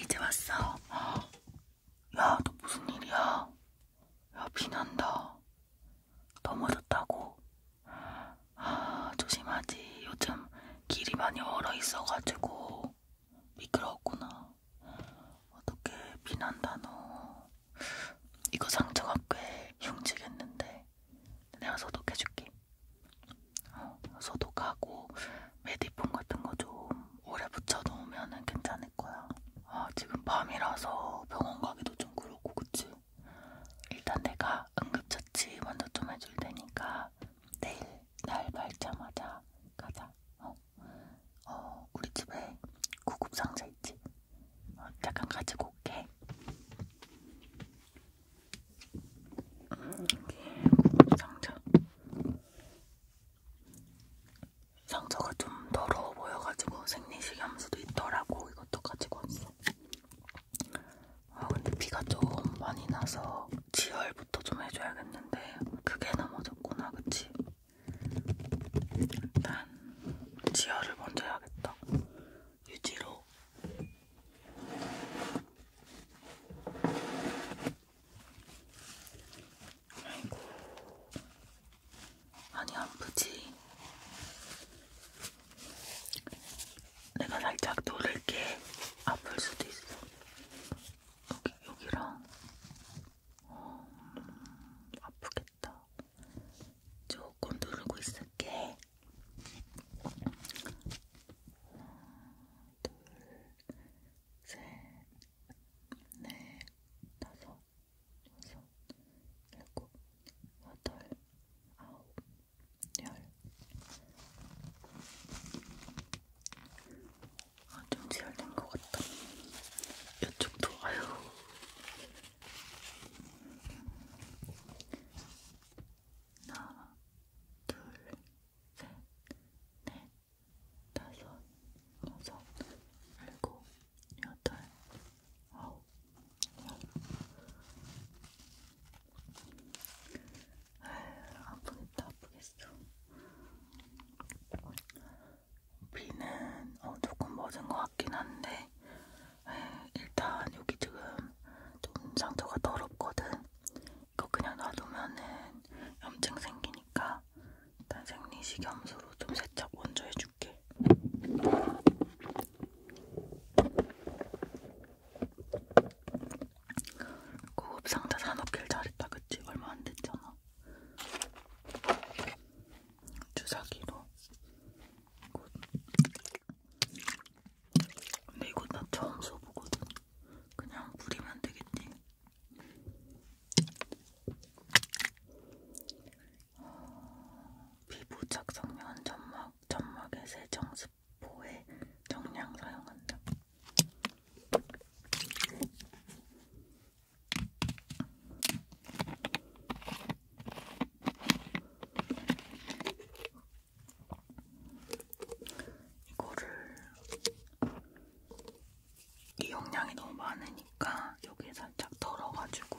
이제 왔어. 야, 너 무슨 일이야? 야, 비 난다. 넘어졌다고? 아, 조심하지. 요즘 길이 많이 얼어 있어가지고 미끄러웠구나. 어떻게 비난다 너. 이거 상처가 꽤 흉지겠는데. 내가 소독해줄게. 어, 소독하고 메디폼 같은 거 좀 오래 붙여놓으면 괜찮을 거야. 아, 지금 밤이라서 병원 가기도 좀 그렇고, 그치? 일단 내가 응급처치 먼저 좀 해줄 테니까 내일 날 밝자마자 가자. 어, 어 우리 집에 구급 상자 있지. 어, 잠깐 가지고 올게. 음, 구급 상자. 상자가 좀 더러워 보여가지고 생리식 염수도 있더라고. 이것도 가지고 왔어. 아 근데 비가 좀 많이 나서 지혈부터 좀 해줘야겠는데 그게 넘어졌구나 그치? 일단 지혈을 먼저 해야겠다 유지로 아이고 많이 아프지? 내가 살짝 누를게 아플 수도 있어. 여기, 여기랑 어, 음, 아프겠다. 조금 누르고 있을게. 둘, 셋, 넷, 다섯, 여섯, 일곱, 여덟, 아홉, 아, 좀 지혈된 것 같다. 이쪽도 아유. 하나, 둘, 셋, 넷, 다섯, 여섯, 일곱, 여덟, 아홉, 열. 아휴, 아프겠다, 아프겠어. 비는 어, 조금 멎은 것 같긴 한데, 에이, 일단 여기 지금 좀 상처가 더럽거든. 이거 그냥 놔두면은 염증 생기니까 일단 생리식염수로 좀 세척 먼저 해줄게. 고급 상자 산업길 잘했다 그치? 얼마 안 됐잖아. 주사기로. 이곳. 근데 이거 나 처음 써보거든. 그냥 부리면 되겠지. 어, 피부 착성면 점막, 점막의 세정 습 보에 정량 사용한다. 이거를 이 용량이 너무 많으니까 여기에 살짝 덜어가지고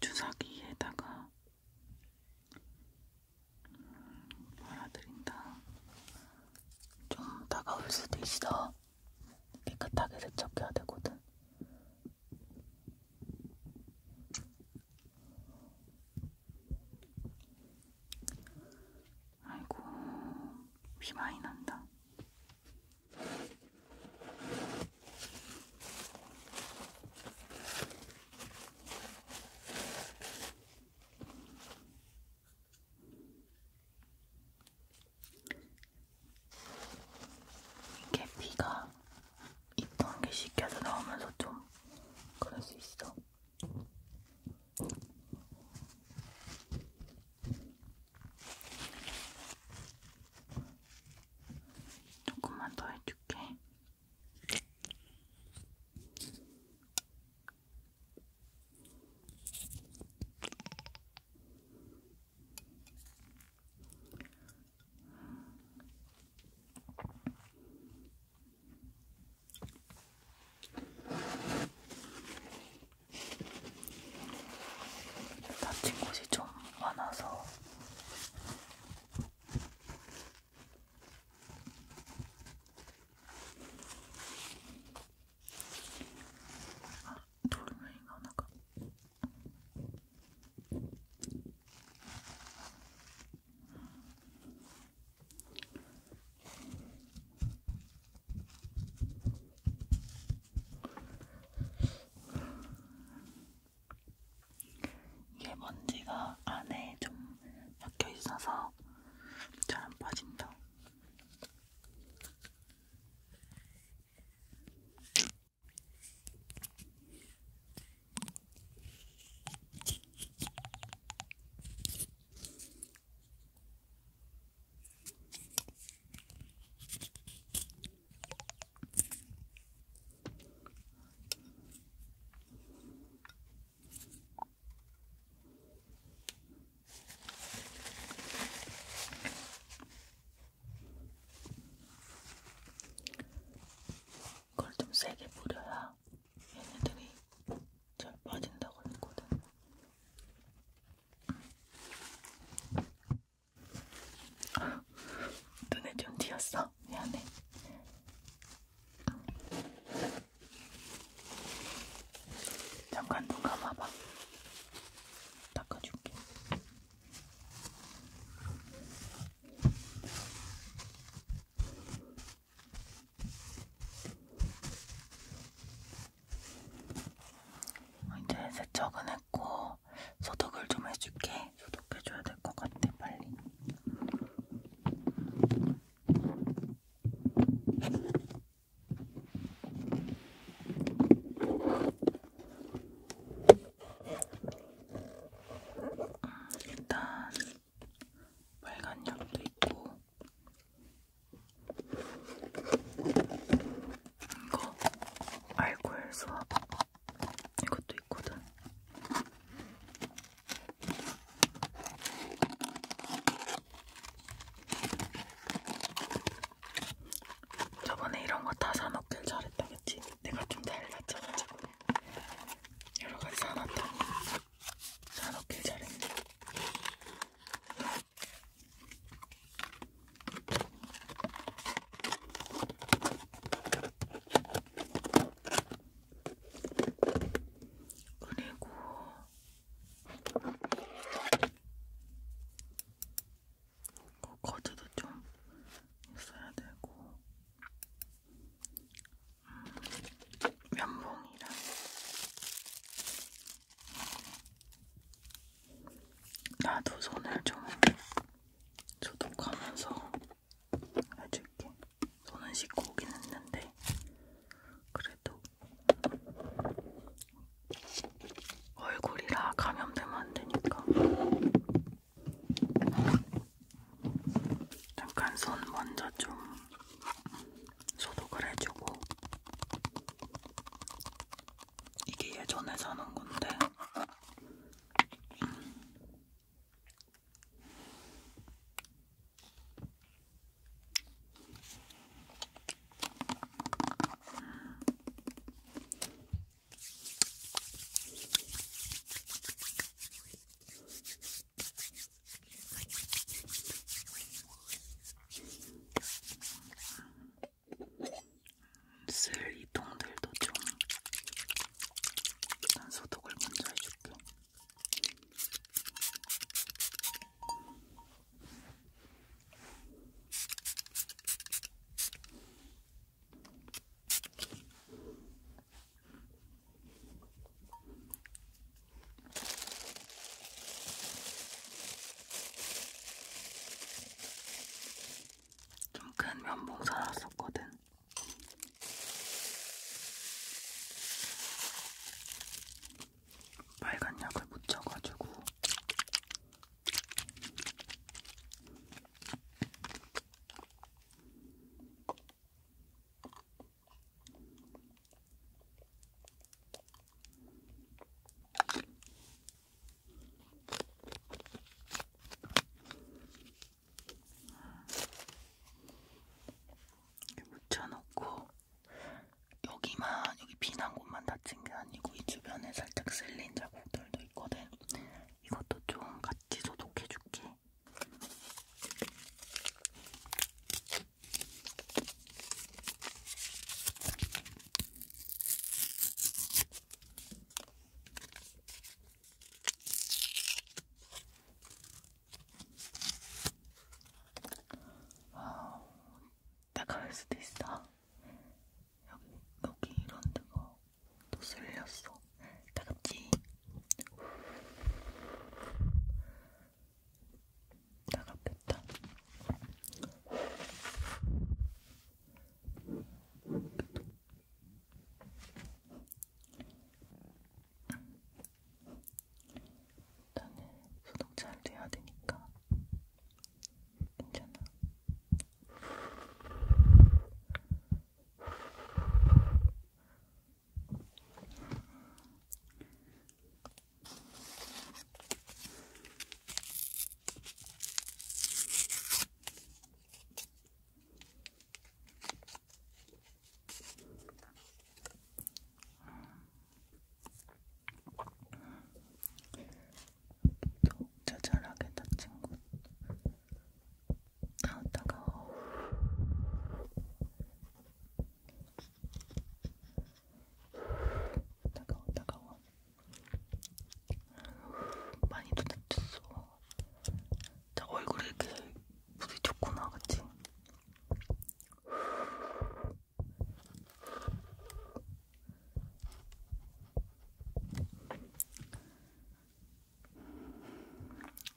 주사기에다가 말아드린다. 좀 다가올 수도 있어. 깨끗하게 세척해야 되거든. 아이고, 비 많이 난다. 이게 피가 있던 게 씻겨서 나오면서 좀 그럴 수 있어. 조금만 더 해줄게. 다친 곳이 좀 많아서 아, 돌멩이가 하나가 이게 먼지가 안에 좀 박혀 있어서 잘 안 빠진다. 그걸 좀 세게 뿌려야 얘네들이 잘 빠진다고 했거든. 눈에 좀 띄었어. 미안해. 잠깐 눈 감아봐. 닦아줄게. 어, 이제 세척은 했고 소독을 좀 해줄게. 소독해줘야 될 것 같아, 빨리. 음, 일단 빨간 약도 있고 이거 알콜 수압 이것도 있거든. 저번에 이런 거 다 사먹길 잘했다, 그치? 내가 좀잘 다쳐가지고 여러 가지 사놨다. 사놓길 잘했네. 그리고 그 거즈도 좀 있어야 되고 음, 면봉이랑 나도 손을 좀 소독하면서 해줄게. 손은 씻고 오긴 했는데 그래도 얼굴이라 감염되면 안 되니까 잠깐 손 먼저 좀 소독을 해주고 이게 예전에 사는 건데 음. 쓸 이통들도 좀 소독을 먼저 해줄게. 좀큰 면봉 사놨었거든. 빨간 약을 묻혀가지고 이렇게 묻혀놓고 여기만 여기 비난 곳만 다친 게 아니고 이 주변에 살짝 쓸린 자국들도 있거든. 이것도 좀 같이 소독해줄게. 와우, 따가울 수도 있어. 여기, 여기 이런 데가 또 쓸렸어. 따갑지? 나갔겠다. 나는 소독 잘 돼야 되니까 괜찮아. 독자 잘하게 다 친구 나왔다가 따가워 따가워 많이 도닥쳤어 자 얼굴에 이렇게 부딪혔구나 그치?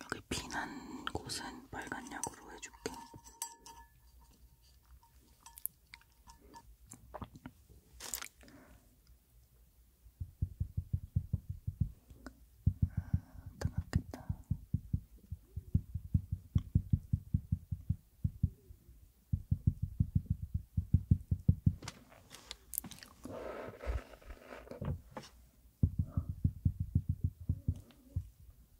여기 피난 곳은 빨간 약으로 해줄게. 아, 뜨겁겠다. 괜찮아?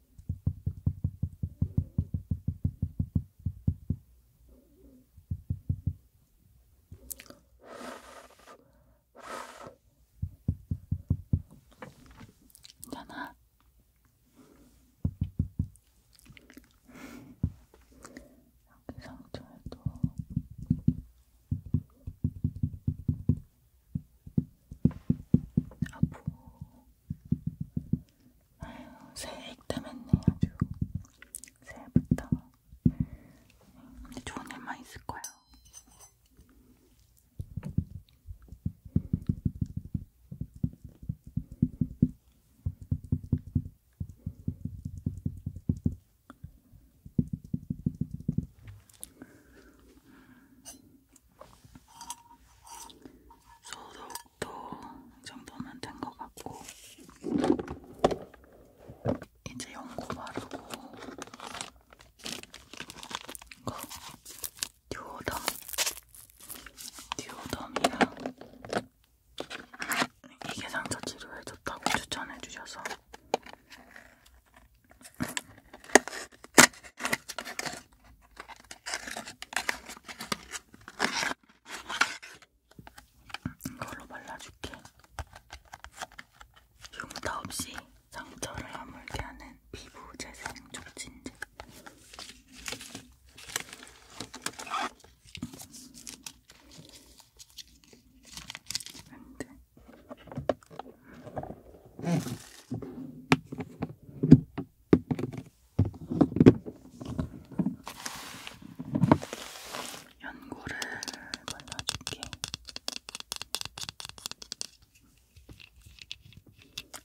여기 상처에도 아프고 아유, 새해 액땜했네 아주. 새해부터. 근데 좋은 일만 있을 거야. 소독도 이 정도면 된 것 같고 이제 연고 바르고 이거 듀오덤 듀오덤이랑 이게 상처 치료에 좋다고 추천해 주셔서 이걸로 발라줄게. 흉터 없이 상처를 아물게 하는 피부 재생 촉진제. 안돼. 응. 연고를 발라줄게.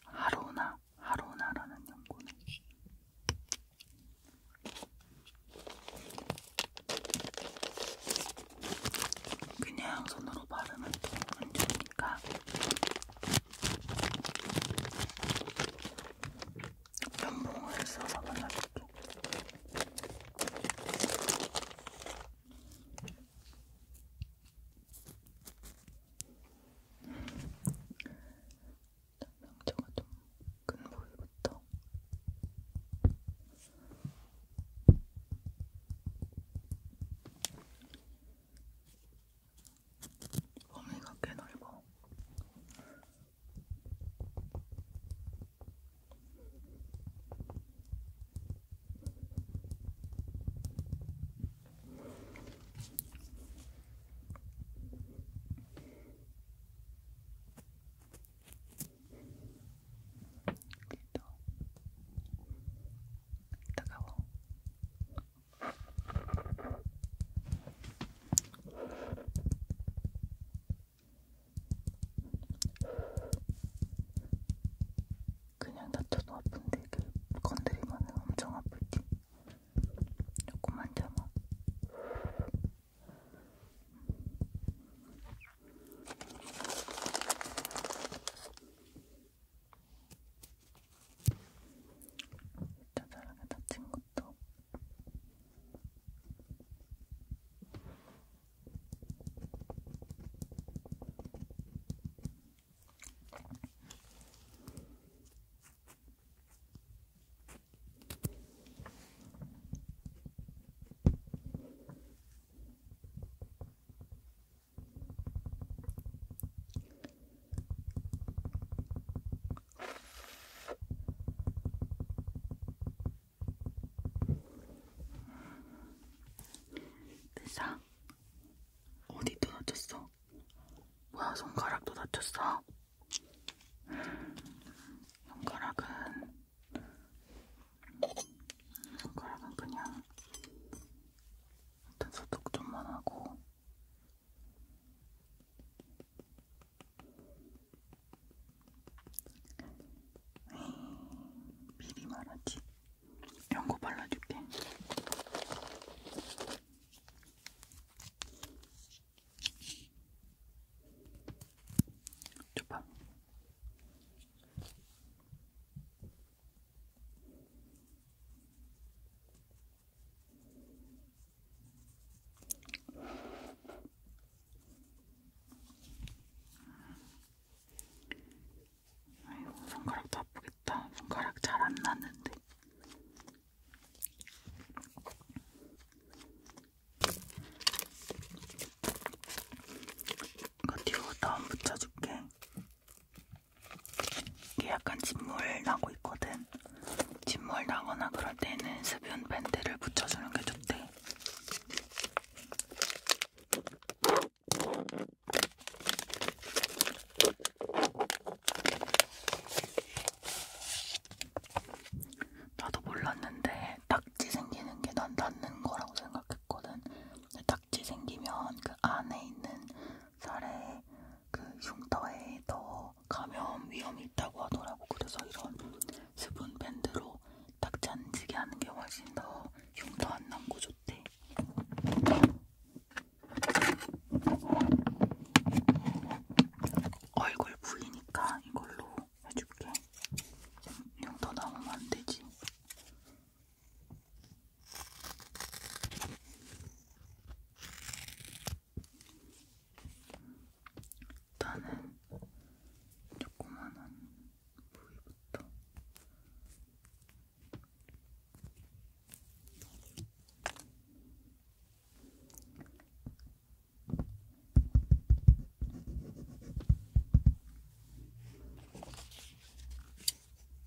하로나, 하로나라는 연고는. 그냥 손으로 바르면 또안 좋으니까 면봉을 써서 발라줄게. 명자가 좀큰 부위부터. 범위가 꽤 넓어. 뜨거워. 그냥 다쳐도 아픈데 이렇게 그 건드리면 엄청 아프지. 조금만 참아. 저 사람이 다친 것도 됐어? 어디도 다쳤어? 뭐야 손가락도 다쳤어? 손가락은 손가락은 그냥 일단 소독 좀만 하고 에이, 미리 말하지 이런 거 발라줄게 줘봐 아이고 손가락도 아프겠다. 손가락 잘안 났는데. 이거 뒤로 다운 붙여줄게. 이게 약간 진물 나고 있거든. 진물 나거나 그럴 때는 스뷴 밴드를 붙여주는 게 좋대. 나도 몰랐는데 딱지 생기는 게난 낫는 거라고 생각했거든. 딱지 생기면 그 안에 있는 살에 그 흉터에 더 감염 위험이 있다고 하더라고. 그래서 이런 수분 밴드로 닦지 않지게 하는 게 훨씬 더 흉터 안 남고 좋대. 얼굴 부위니까 이걸로 해줄게. 흉터 남으면 안 되지. 일단은 조그만한 부위부터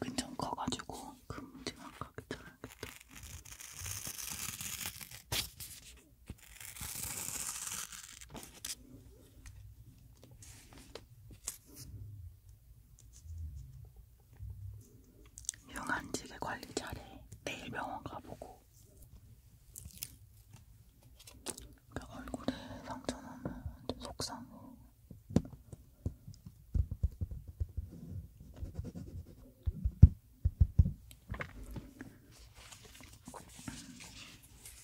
여긴 좀 커가지고 금지만 그 가게 잘하겠다. 영안지게 관리 잘해. 내일 병원 가보고. 그 얼굴에 상처 나면 좀 속상해.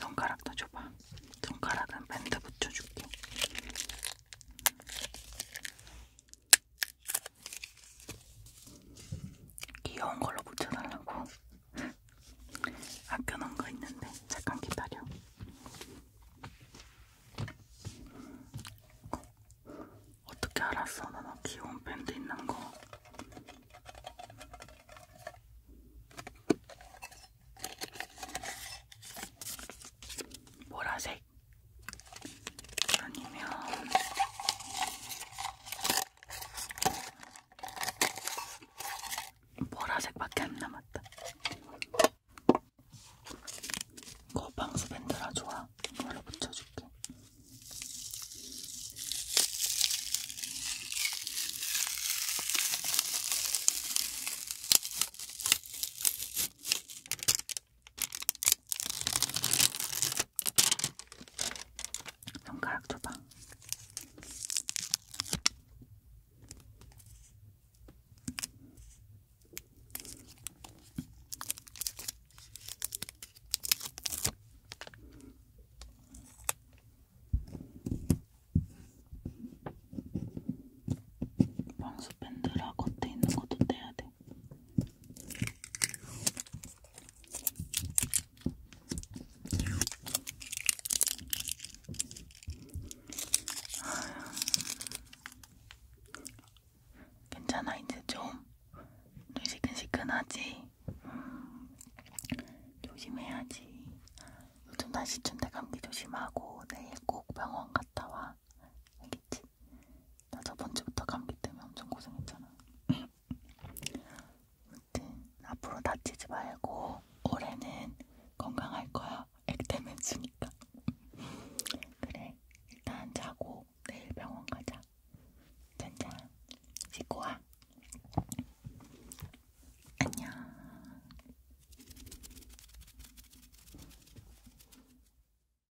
손가락도 줘봐. 손가락은 밴드 붙여줄게. 귀여운 걸로 붙여달라고 아껴놓은 거 있는데 잠깐 기다려 어, 어떻게 알았어? 나 귀여운 밴드 있는 거 보라색 아니면 보라색밖에 안 남았다. 거 방수 밴드라 좋아. 이걸로 붙여줄게. 손가락 줘봐. 방수 밴드라 겉에 있는 것도 떼야 돼. 괜찮아 이제 좀 시큰시큰하지 음, 조심해야지 요즘 날씨 춘대 감기 조심하고 내일 꼭 병원 갔다 와 거야. 알겠지? 나 저번 주부터 감기 때문에 엄청 고생했잖아. 아무튼 앞으로 다치지 말고 올해는 건강할 거야. 액땜 주니까 그래, 일단 자고 내일 병원 가자. 짠짠. 씻고 와. 안녕.